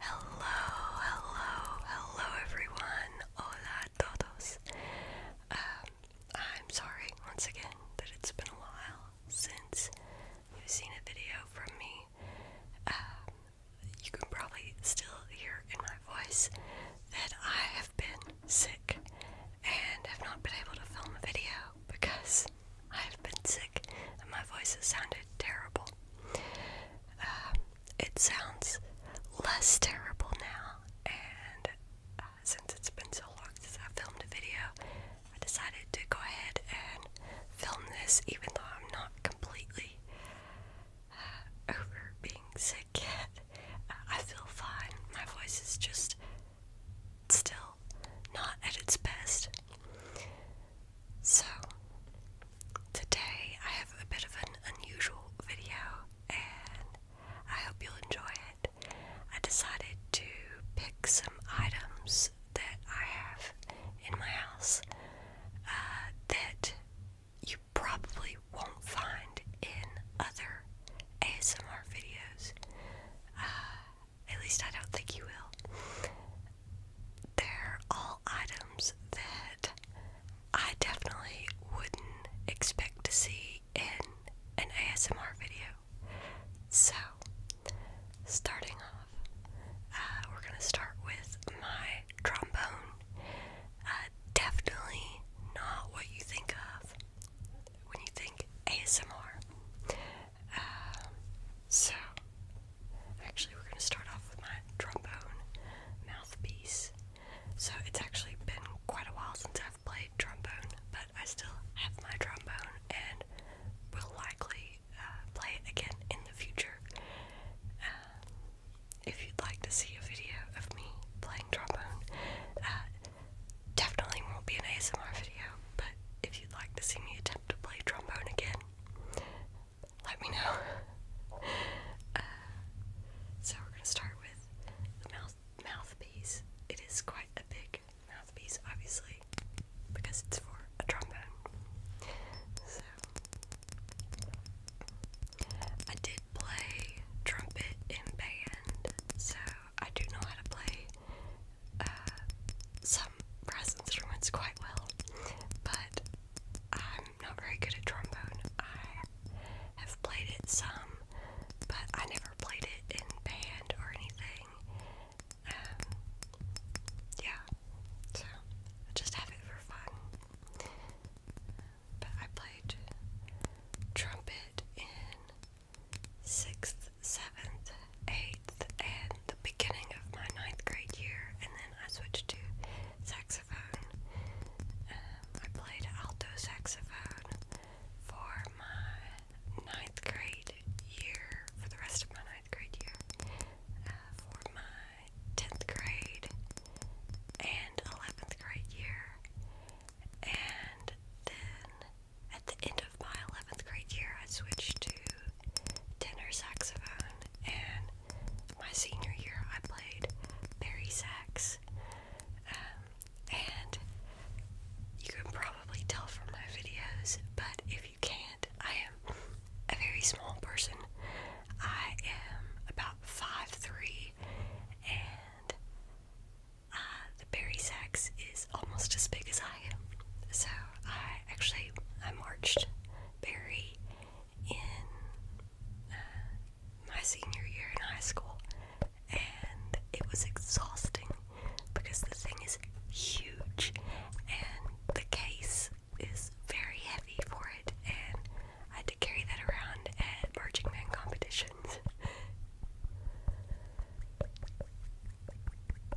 Hello, hello, hello everyone. Hola todos. Um, I'm sorry once again that it's been a while since you've seen a video from me. Um, you can probably still hear in my voice that I have been sick and have not been able to film a video because I have been sick and my voice has sounded terrible. Um, it sounds less terrible now, and uh, since it's been so long since I filmed a video, I decided to go ahead and film this even though I'm not completely uh, over being sick yet. Uh, I feel fine. My voice is just still not at its best. So, today I have a bit of an unusual video and I hope you'll enjoy it. I decided to pick some items that I have in my house uh, that you probably won't find in other ASMR videos. Uh, at least I don't think you will. They're all items that I definitely wouldn't expect to see in an ASMR video. So, starting off, uh, we're going to start with my trombone. Uh, definitely not what you think of when you think ASMR. Um, so, actually, we're going to start off with my trombone mouthpiece. So, it's actually been quite a while since I've played trombone, but I still have my trombone and will likely uh, play it again in the future. Um, if you'd like to see a video of me playing trombone, uh, definitely won't be an ASMR video, but if you'd like to see me attempt to play trombone again, let me know. Uh, so we're gonna start with the mouth mouthpiece. It is quite a big mouthpiece, obviously, because it's for a trombone. So I did play trumpet in band, so I do know how to play uh, some brass instruments quite well, but I'm not very good at trombone. I have played it some, but I never played it in band or anything. Um, yeah, so just have it for fun. But I played trumpet in sixth 7th, 8th, and the beginning of my ninth grade year, and then I switched to saxophone. Um, I played alto saxophone for my ninth grade year, for the rest of my ninth grade year, uh, for my 10th grade and 11th grade year, and then at the end of my 11th grade year, I switched to tenor saxophone, and my senior year, I played Barry Sax. Um, and you can probably tell from my videos, but if you can't, I am a very small person. I am about 5'3, and uh, the Barry Sax is almost as big as I so I actually I marched Barry in uh, my senior year in high school, and it was exhausting because the thing is huge, and the case is very heavy for it, and I had to carry that around at marching band competitions.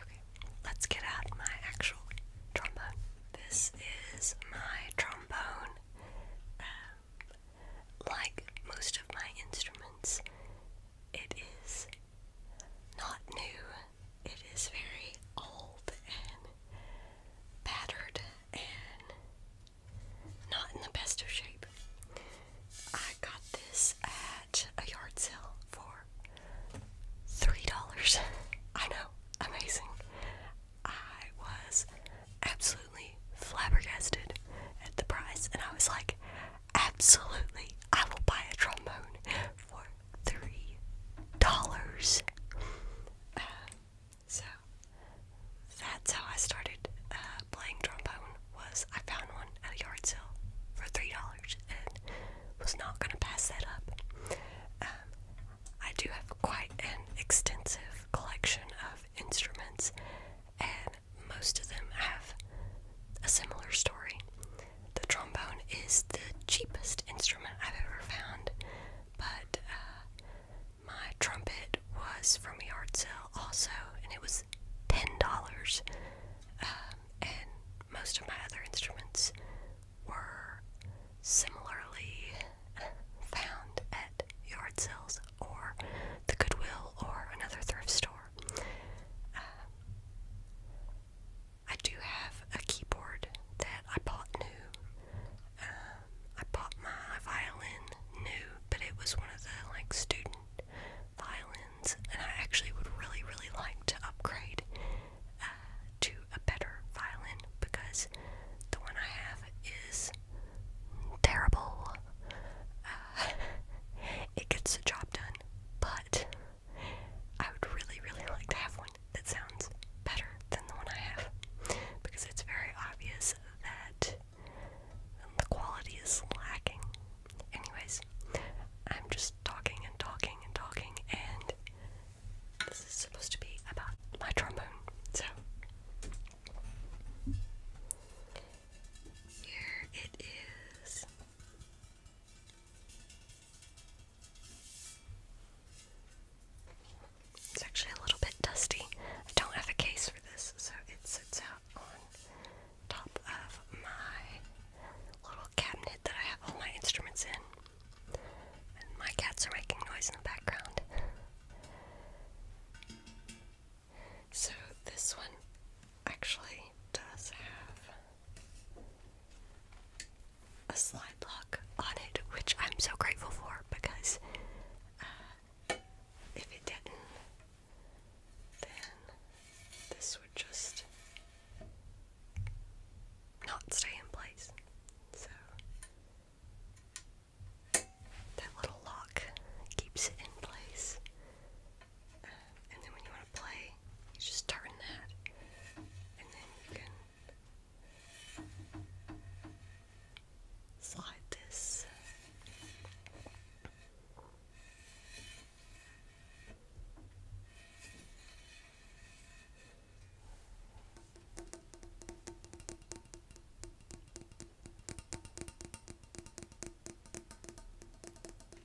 Okay, let's get out my actual trombone. This is my trombone. Um, like most of my instruments, it is not new it is very old and battered and not in the best of shape. I got this at a yard sale for three dollars. I know, amazing. I was absolutely flabbergasted at the price, and I was like, absolutely, I will buy a trombone for three dollars. Uh, so that's how I started uh, playing trombone. Was I found one at a yard sale for three dollars and was not gonna pass that up. Um, I do have quite an extensive collection of instruments, and most of them have a similar story the trombone is the cheapest instrument I've ever found, but uh, my trumpet was from a yard sale also, and it was $10. Um, and most of my other instruments were similarly uh, found at yard sales or the Goodwill or another thrift store. Uh, I do have a keyboard that I bought new. Um, I bought my violin new, but it was one of the like student violins, and I actually would really, really like to upgrade uh, to a better violin because the one I have is terrible. Uh, it gets the job done, but I would really, really like to have one that sounds better than the one I have because it's very obvious that the quality is lacking. Anyways, I'm just talking and talking and talking, and this is supposed to be about my trombone. So, here it is. It's actually a little bit dusty. I don't have a case for this, so it sits out on top of my little cabinet that I have all my instruments in. And my cats are making noise in the background. So this one actually does have a slide lock on it, which I'm so grateful for because uh, if it didn't, then this would just not stay in place. So that little lock keeps it in place and then when you want to play, you just turn that, and then you can slide this.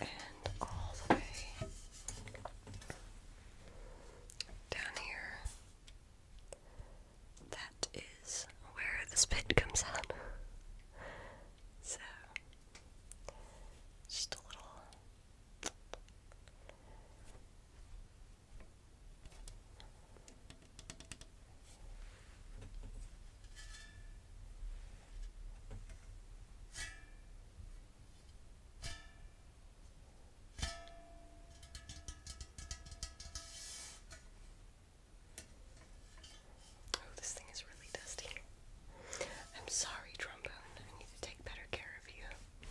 and all the way down here. That is where the spit comes out. So, just a little Oh, this thing is really dusty. I'm sorry, trombone. I need to take better care of you.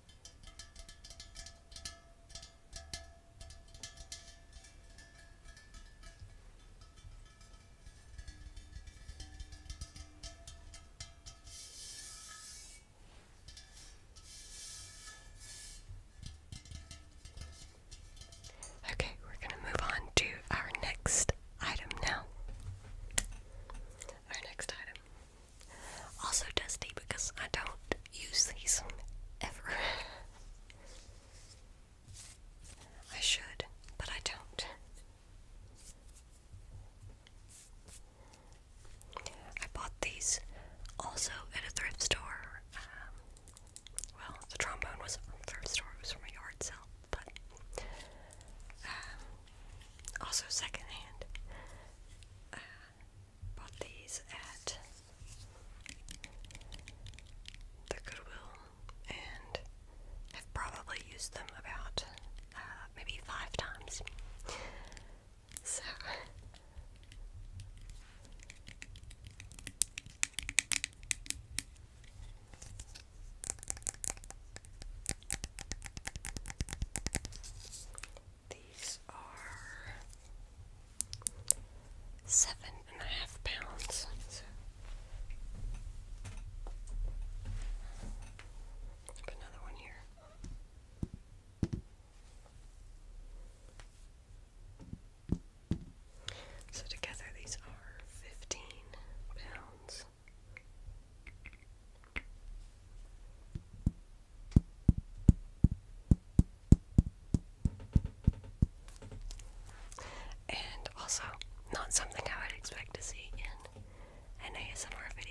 Okay, we're going to move on to our next item now. Our next item also dusty because I don't use these ever. I should, but I don't. I bought these also at a thrift store. Um, well, the trombone was from a thrift store, it was from a yard sale, but um, also secondhand. Uh, bought these at the Goodwill and have probably used them about uh, maybe five times. So. These are seven and a half pounds. another one here. So together these are 15 pounds. And also, not something I would expect to see in an ASMR video.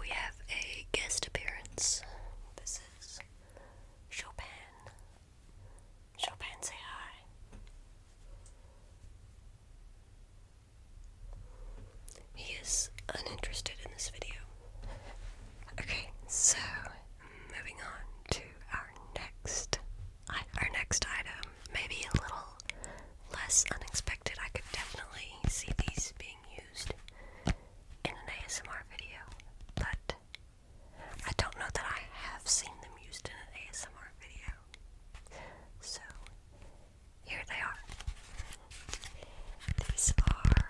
We have a guest appearance. This is Chopin Chopin, say hi. He is uninterested in this video. Okay, so moving on to our next, our next item. Maybe a little less unexpected. I could definitely see these being used in an ASMR video, but I don't know that I have seen them used in an ASMR video. So, here they are. These are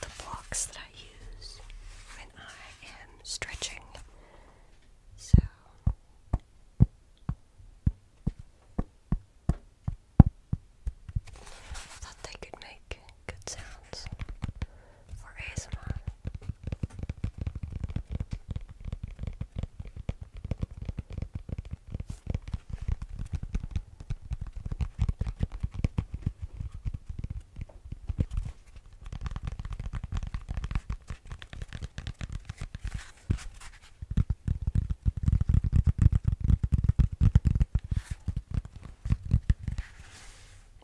the blocks that I use when I am stretching. So, I thought they could make good sounds for ASMR.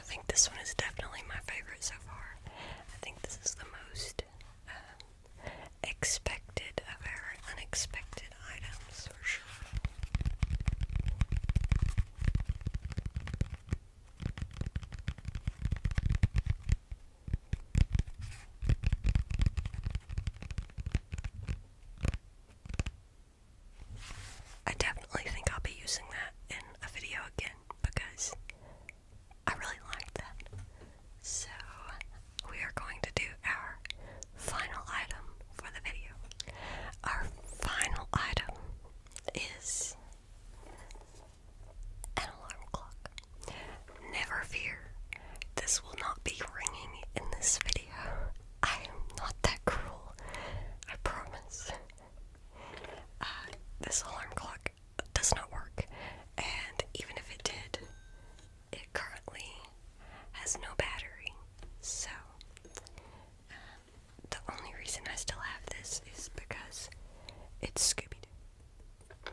I think this one is definitely my favorite so far. I think this is the most um, expected of our unexpected items for sure. I definitely think I'll be using that in a video again because I really liked that. So, we are going to do our final item for the video. Our final item is an alarm clock. Never fear, this will not be ringing in this video. I am not that cruel, I promise. Uh, this alarm clock does not work. And even if it did, it currently has no battery. So, um, the only reason I still have this is because it's Scooby Doo.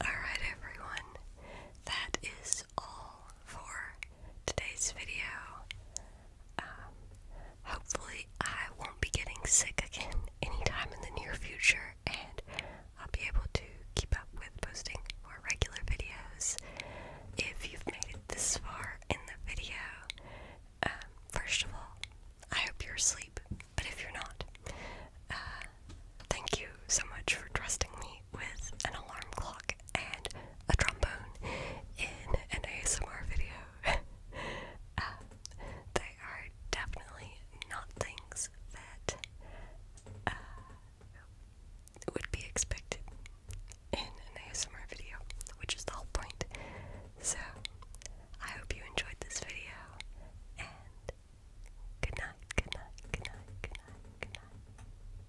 Alright, everyone, that is all for today's video. Um, hopefully, I won't be getting sick again anytime in the near future, and I'll be able to keep up with posting more regular videos. If you've made it this far in the video, um, first of all, I hope you're asleep, but if you're not, uh, thank you so much for trusting me with an alarm clock and a trombone in an ASMR video. Uh, they are definitely not things that uh, would be expected in an ASMR video, which is the whole point. So, I hope you enjoyed this video, and good night, good night, good night, good night, good night.